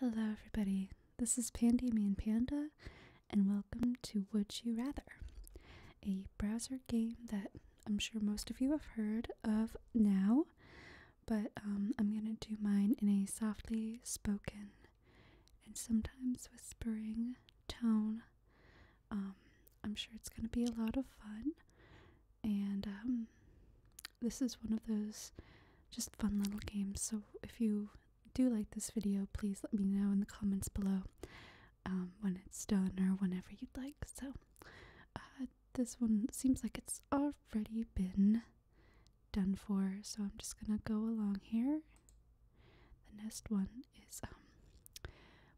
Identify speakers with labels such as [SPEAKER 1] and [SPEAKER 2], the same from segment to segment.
[SPEAKER 1] Hello, everybody. This is Pandy and Panda, and welcome to Would You Rather, a browser game that I'm sure most of you have heard of now, but um, I'm going to do mine in a softly spoken and sometimes whispering tone. Um, I'm sure it's going to be a lot of fun, and um, this is one of those just fun little games. So if you do like this video, please let me know in the comments below um, when it's done or whenever you'd like. So uh, this one seems like it's already been done for. So I'm just gonna go along here. The next one is um,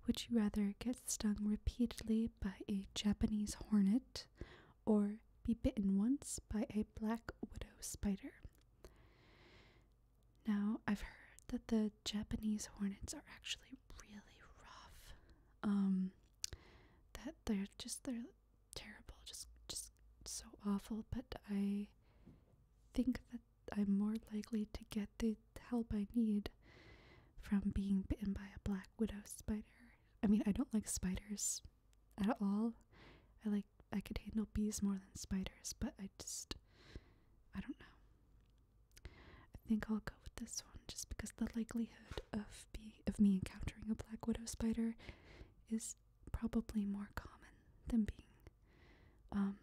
[SPEAKER 1] Would you rather get stung repeatedly by a Japanese hornet or be bitten once by a black widow spider. Now, I've heard that the Japanese hornets are actually really rough. Um, that they're just they're terrible, just just so awful. But I think that I'm more likely to get the help I need from being bitten by a black widow spider. I mean, I don't like spiders at all. I like I could handle bees more than spiders, but I just I don't know. I think I'll go with this one just because the likelihood of be of me encountering a black widow spider is probably more common than being um,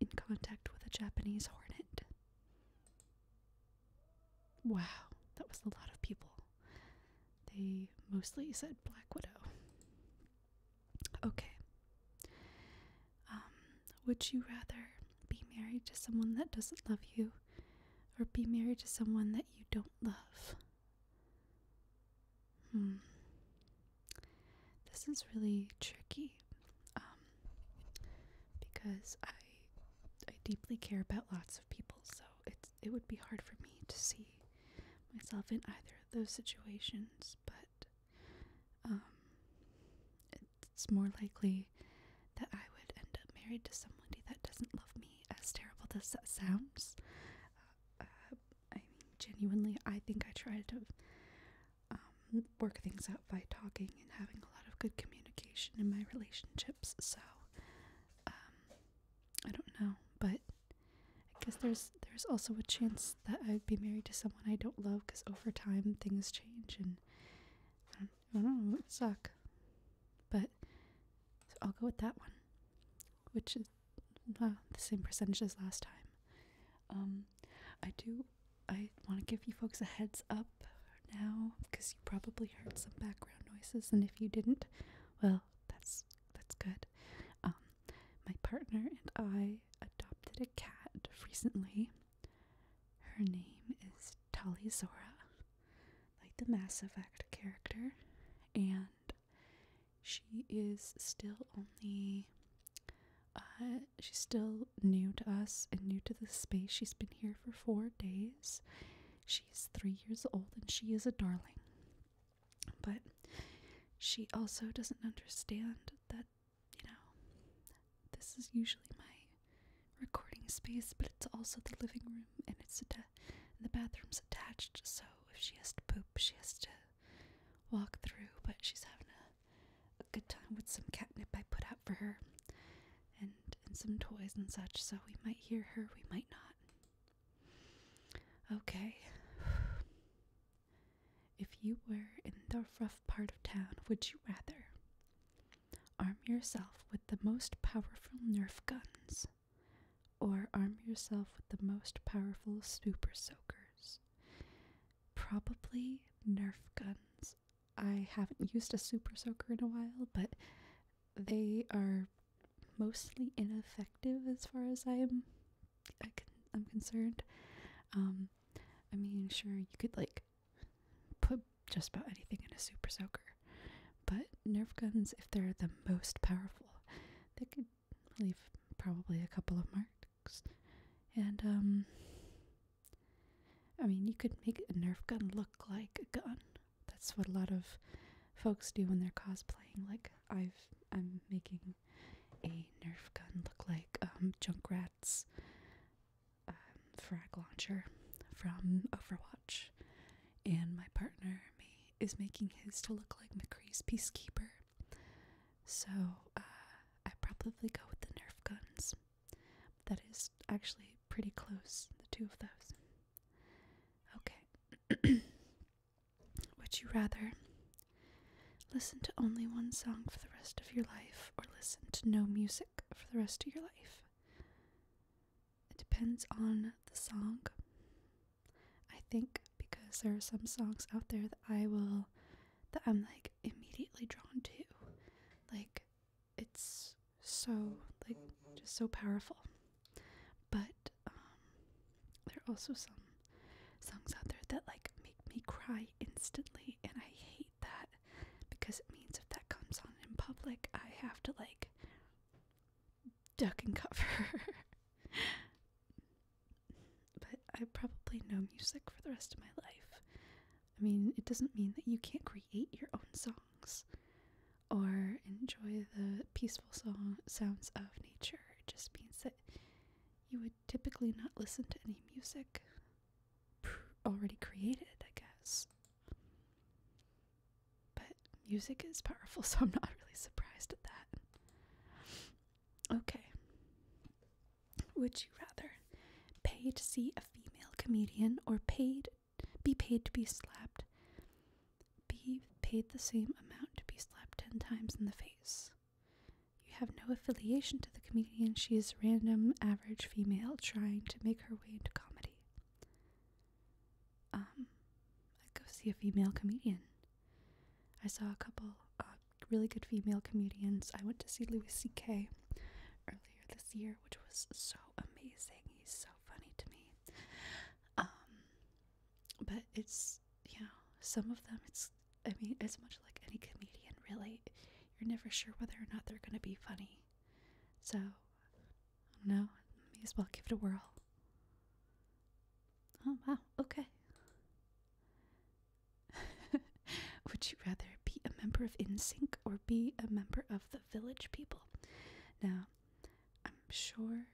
[SPEAKER 1] in contact with a Japanese hornet. Wow, that was a lot of people. They mostly said Black Widow. Okay. Um, would you rather be married to someone that doesn't love you or be married to someone that you don't love? Hmm. This is really tricky um, because I I deeply care about lots of people, so it's it would be hard for me to see myself in either of those situations, but um, it's more likely that I would end up married to somebody that doesn't love me, as terrible as that sounds. Uh, uh, I mean, genuinely, I think I try to um, work things out by talking and having a lot of good communication in my relationships, so um, I don't know, but I guess there's there's also a chance that I'd be married to someone I don't love because over time things change and I don't, know, it would suck. But so I'll go with that one, which is uh, the same percentages last time. Um, I do. I want to give you folks a heads up now because you probably heard some background noises, and if you didn't, well, that's that's good. Um, my partner and I adopted a cat recently. Her name is Tali Zora, like the Mass Effect character, and she is still only. Uh, she's still new to us and new to the space. She's been here for four days, She's three years old and she is a darling. But she also doesn't understand that, you know, this is usually my recording space, but it's also the living room and it's the bathroom's attached, so if she has to poop, she has to walk through, but she's having a good time with some catnip I put out for her and and some toys and such so we might hear her we might not okay if you were in the rough part of town would you rather arm yourself with the most powerful nerf guns or arm yourself with the most powerful super soakers probably nerf guns I haven't used a super soaker in a while, but they are mostly ineffective as far as I'm I am concerned. Um, I mean, sure you could like put just about anything in a super soaker, but nerve guns, if they're the most powerful, they could leave probably a couple of marks. And um, I mean, you could make a nerve gun look like a gun, that's what a lot of folks do when they're cosplaying. Like I've I'm making a Nerf gun look like um, Junkrat's um, frag launcher from Overwatch, and my partner me is making his to look like McCree's Peacekeeper. So uh, I probably go with the Nerf guns. That is actually pretty close, the two of those. Okay. Would you rather listen to only one song for the rest of your life or listen to no music for the rest of your life? It depends on the song. I think because there are some songs out there that I will that I'm like immediately drawn to. Like it's so like just so powerful. But um, there are also some songs out there that like make me cry instantly, and I hate that because it means if that comes on in public, I have to like duck and cover. but I probably know music for the rest of my life. I mean, it doesn't mean that you can't create your own songs or enjoy the peaceful song, sounds of nature. It just means that you would typically not listen to any music already created, I guess. But music is powerful, so I'm not really surprised at that. Okay. Would you rather pay to see a female comedian or paid be paid to be slapped. Be paid the same amount to be slapped ten times in the face. You have no affiliation to the comedian. She is random, average female trying to make her way into comedy. Um, I go see a female comedian. I saw a couple uh, really good female comedians. I went to see Louis C.K. earlier this year, which was so amazing. He's so funny to me. Um, but it's, you know, some of them, it's, I mean, it's much like any comedian, really. You're never sure whether or not they're going to be funny. So, I don't know. May as well give it a whirl. Oh, wow. Okay. Would you rather be a member of InSync or be a member of the Village People? Now, I'm sure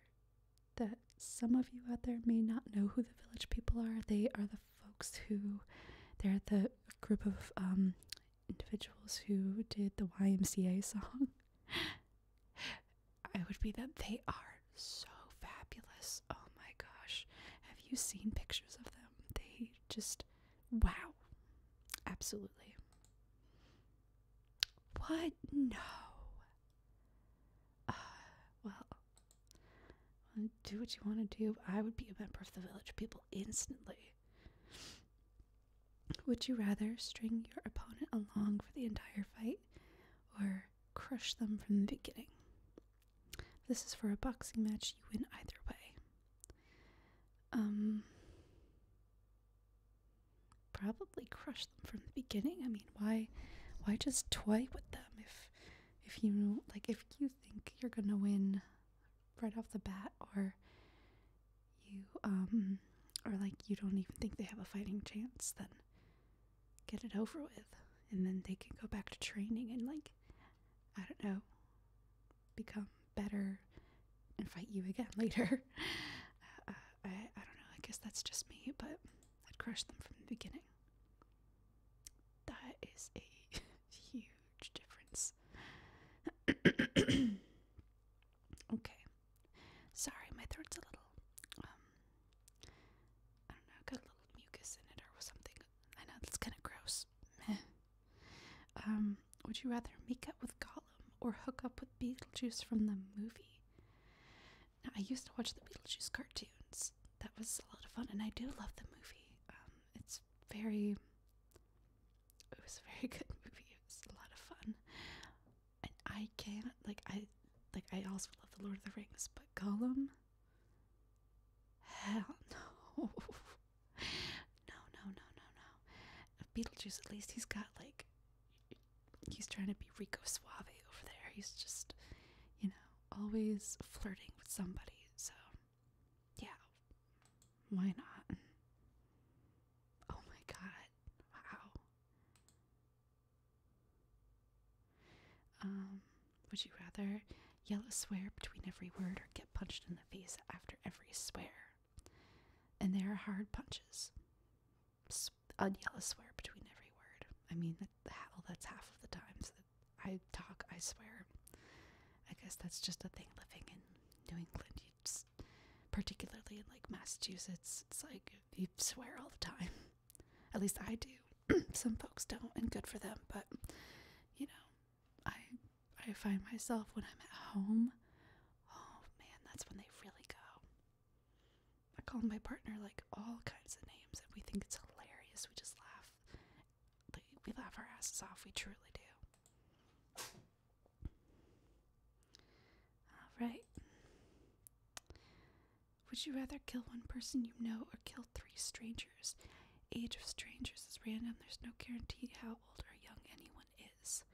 [SPEAKER 1] that some of you out there may not know who the village people are. They are the folks who, they're the group of um, individuals who did the YMCA song. I would be that they are so fabulous. Oh my gosh. Have you seen pictures of them? They just, wow. Absolutely. What? No. Uh, well, do what you want to do. I would be a member of the village people instantly. Would you rather string your opponent along for the entire fight or crush them from the beginning? This is for a boxing match, you win either way. Um probably crush them from the beginning. I mean, why why just toy with them if if you like if you think you're going to win right off the bat or you um or like you don't even think they have a fighting chance, then get it over with and then they can go back to training and like I don't know, become better and fight you again later. Uh, I, I don't know, I guess that's just me, but I'd crush them from the beginning. That is a huge difference. okay. Sorry, my throat's a little, um, I don't know, got a little mucus in it or something. I know that's kind of gross. Um, would you rather make up with Gollum or hook up with Beetlejuice from the movie? Now, I used to watch the Beetlejuice cartoons. That was a lot of fun, and I do love the movie. Um, it's very. It was a very good movie. It was a lot of fun, and I can't like I like I also love the Lord of the Rings, but Gollum. Hell no. No, no, no, no, no. Beetlejuice, at least he's got like. He's trying to be Rico Suave over there. He's just, you know, always flirting with somebody. So, yeah. Why not? Oh my god. Wow. Um, would you rather yell a swear between every word or get punched in the face after every swear? And there are hard punches. I'd yell a swear between every word. I mean, hell, that's half of the times that I talk, I swear. I guess that's just a thing living in New England. particularly in like Massachusetts, it's like you swear all the time. At least I do. Some folks don't, and good for them. But, you know, I I find myself when I'm at home. Oh man, that's when they really go. I call my partner like all kinds of names, and we think it's hilarious. We just laugh. we laugh our asses off. We truly do. Alright. Would you rather kill one person you know or kill three strangers? Age of strangers is random. There's no guarantee how old or young anyone is.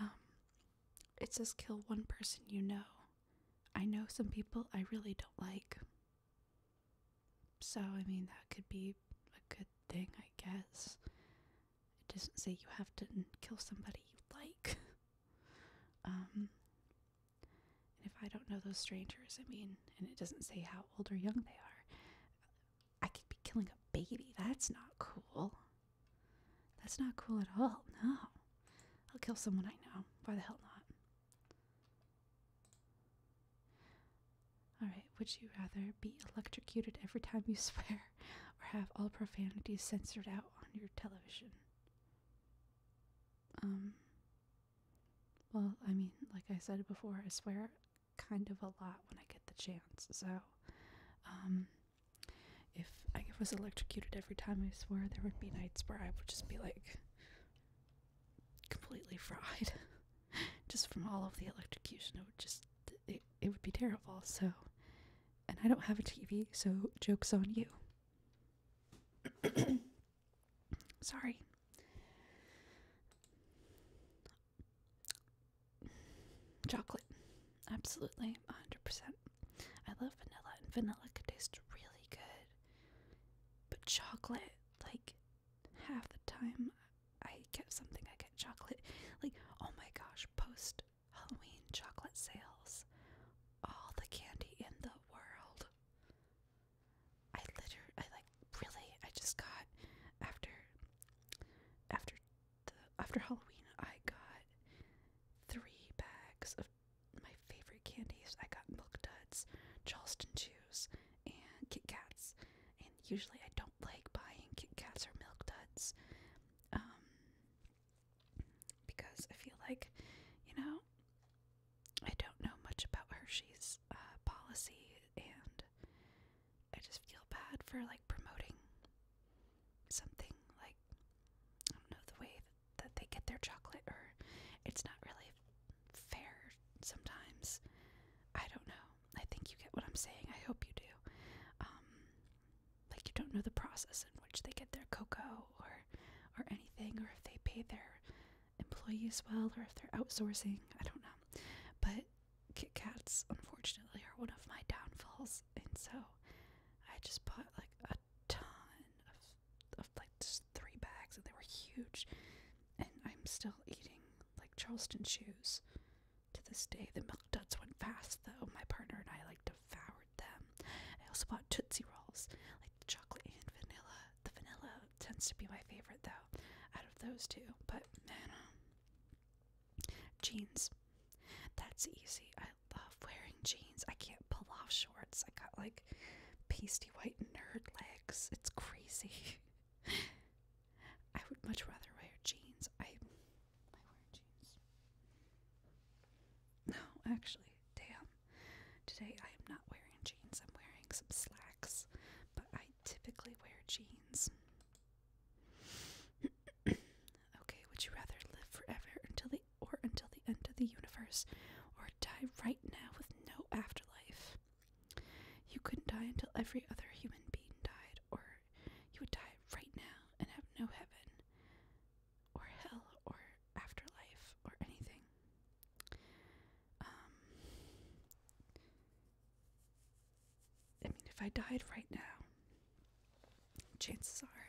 [SPEAKER 1] Um, it says kill one person you know. I know some people I really don't like. So, I mean, that could be a good thing, I guess. It doesn't say you have to kill somebody you like. Um, and if I don't know those strangers, I mean, and it doesn't say how old or young they are, I could be killing a baby. That's not cool. That's not cool at all. No. I'll kill someone I know. Why the hell not? Alright, would you rather be electrocuted every time you swear or have all profanities censored out on your television? Um, well, I mean, like I said before, I swear kind of a lot when I get the chance. So, um, if I was electrocuted every time, I swear there would be nights where I would just be like completely fried, just from all of the electrocution. It would just it, it would be terrible. So, and I don't have a TV, so jokes on you. Sorry. Chocolate. Absolutely. 100%. I love vanilla, and vanilla can taste really good. But chocolate, like, half the time I get something, I get chocolate. Like, oh my gosh, post Halloween chocolate sales. All the candy in the world. I literally, I like, really, I just got, after, after the after Halloween I got three bags of my favorite candies. I got milk duds, Charleston chews, and Kit Kats. And usually I don't like buying Kit Kats or milk duds. Um because I feel like, you know, I don't know much about Hershey's uh, policy and I just feel bad for like promoting something like I don't know the way that they get their chocolate or it's not really fair sometimes. I don't know. I think you get what I'm saying. I hope you do. Um, like you don't know the process in which they get their cocoa or or anything or if they pay their employees well or if they're outsourcing. I don't know. But Kit Kats, unfortunately, are one of my downfalls, and so I just bought like a ton of, like just three bags, and they were huge. And I'm still eating like Charleston shoes to this day. The milk duds went fast, though. My partner and I like devoured them. I also bought Tootsie Rolls, like the chocolate and vanilla. The vanilla tends to be my favorite, though, out of those two. But man, um, Jeans. That's easy. I love wearing jeans. I can't pull off shorts. I got like pasty white nerd legs. It's crazy. I would much rather wear jeans. I I wear jeans. No, actually, damn. Today I am not wearing jeans. I'm wearing some slacks, but I typically wear jeans. okay, would you rather live forever until the or until the end of the universe or die right now with no afterlife? You couldn't die until every other human being died, or you would die right now and have no heaven or hell or afterlife or anything. Um I mean, if I died right now, chances are,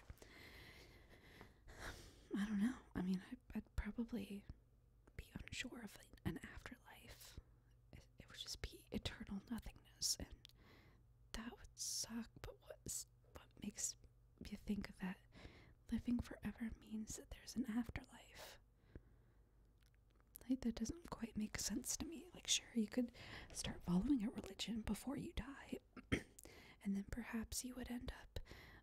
[SPEAKER 1] I don't know. I mean, I, would probably be unsure of an afterlife. It, would just be eternal nothingness, and that would suck. But what's what makes you think that living forever means that there's an afterlife? Like, that doesn't quite make sense to me. Like, sure, you could start following a religion before you die, and then perhaps you would end up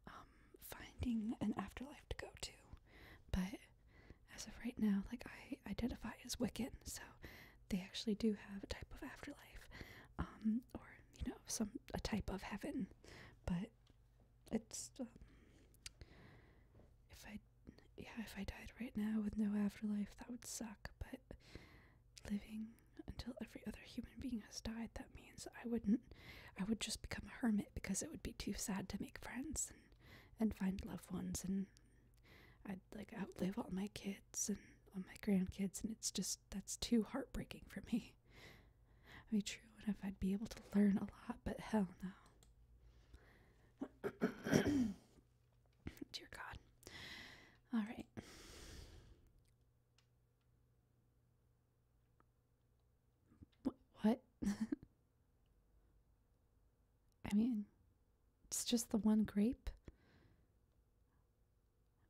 [SPEAKER 1] um, finding an afterlife to go to. But as of right now, like, I identify as Wiccan, so they actually do have a type of afterlife, um, or you know, some a type of heaven, but it's um, if I yeah, if I died right now with no afterlife, that would suck, but living until every other human being has died, that means I wouldn't, I would just become a hermit because it would be too sad to make friends and, and find loved ones, and I'd like outlive all my kids and all my grandkids, and it's just, that's too heartbreaking for me. I mean, true enough, I'd be able to learn a lot, but hell no. Dear God. All right. What? I mean, it's just the one grape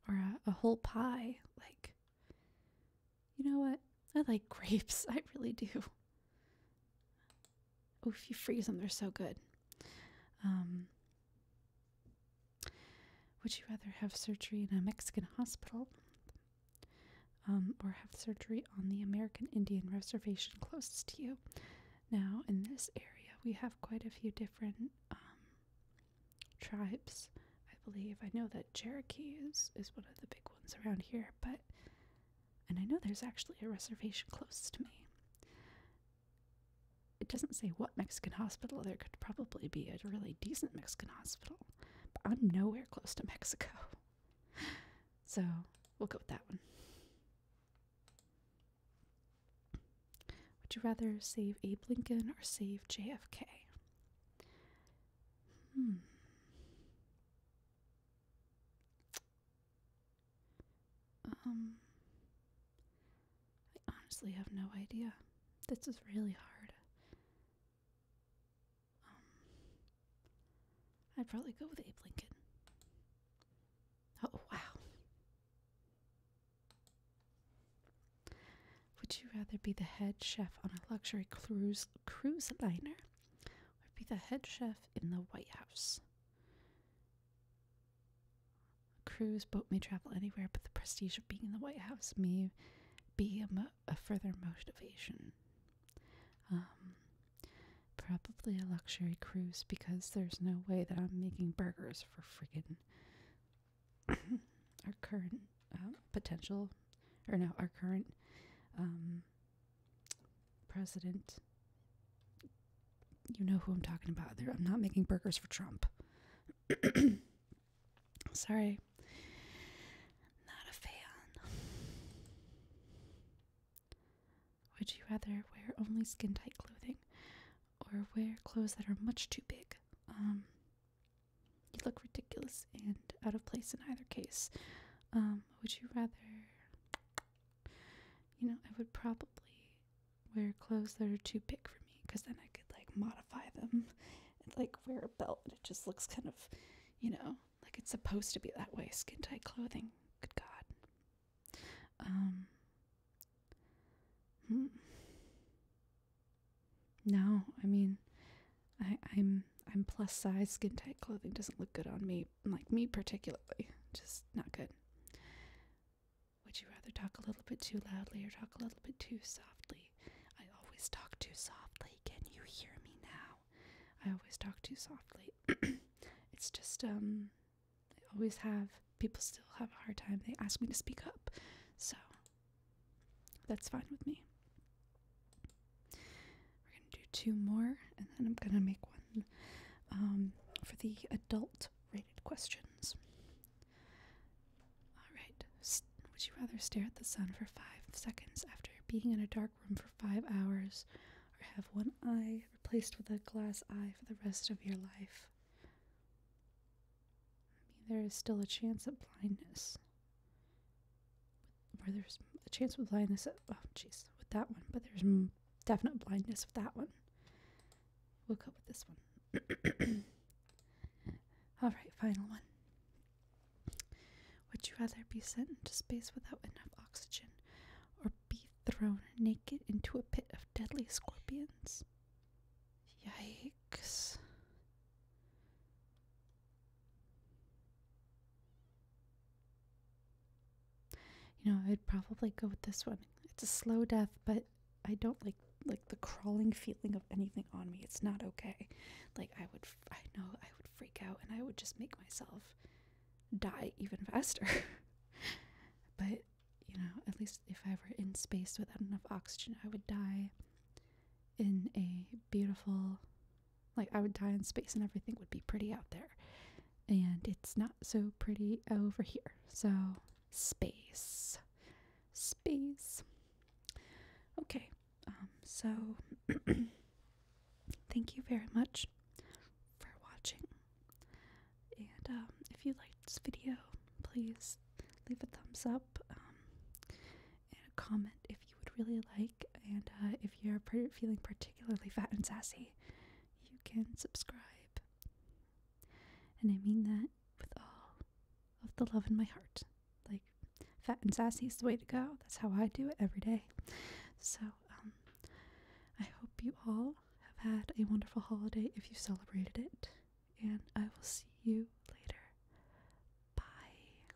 [SPEAKER 1] or a, a whole pie. Like, you know what? I like grapes. I really do. Oh, if you freeze them, they're so good. Um, would you rather have surgery in a Mexican hospital um, or have surgery on the American Indian reservation closest to you? Now, in this area, we have quite a few different um, tribes, I believe. I know that Cherokee is, is one of the big ones around here, but and I know there's actually a reservation close to me. It doesn't say what Mexican hospital, there could probably be a really decent Mexican hospital, but I'm nowhere close to Mexico. So we'll go with that one. Would you rather save Abe Lincoln or save JFK? Hmm. Um, I honestly have no idea. This is really hard. Um, I'd probably go with Abe Lincoln. Oh, wow. Would you rather be the head chef on a luxury cruise cruise liner or be the head chef in the White House? cruise boat may travel anywhere, but the prestige of being in the White House may be a, further motivation. Um, probably a luxury cruise because there's no way that I'm making burgers for friggin' our current uh, potential, or no, our current um, president. You know who I'm talking about. I'm not making burgers for Trump. Sorry. Not a fan. Would you rather wear only skin tight clothing or wear clothes that are much too big? Um, you look ridiculous and out of place in either case. Um, would you rather you know, I would probably wear clothes that are too big for me because then I could like modify them and like wear a belt it just looks kind of, you know, like it's supposed to be that way. Skintight clothing. Good God. Um. Hmm. No, I mean, I, I'm I'm plus size. Skintight clothing doesn't look good on me like me particularly just not good would you rather talk a little bit too loudly or talk a little bit too softly i always talk too softly can you hear me now i always talk too softly it's just um i always have people still have a hard time they ask me to speak up so that's fine with me do two more, and then I'm gonna make one um, for the adult rated questions. Alright, would you rather stare at the sun for five seconds after being in a dark room for five hours, or have one eye replaced with a glass eye for the rest of your life? I mean, there is still a chance of blindness. or there's a chance with blindness, oh jeez, with that one, but there's definite blindness with that one. We'll go with this one. All right, final one. Would you rather be sent into space without enough oxygen or be thrown naked into a pit of deadly scorpions? Yikes. You know, I'd probably go with this one. It's a slow death, but I don't like like the crawling feeling of anything on me. It's not okay. Like I would I know I would freak out and I would just make myself die even faster. but, you know, at least if I were in space without enough oxygen, I would die in a beautiful like I would die in space and everything would be pretty out there and it's not so pretty over here. So, space. Space. Okay, um, so thank you very much for watching. And um, if you liked this video, please leave a thumbs up um, and a comment if you would really like. And uh, if you're feeling particularly fat and sassy, you can subscribe. And I mean that with all of the love in my heart. Like, fat and sassy is the way to go. That's how I do it every day. So, um, I hope you all have had a wonderful holiday if you celebrated it. And I will see you later. Bye.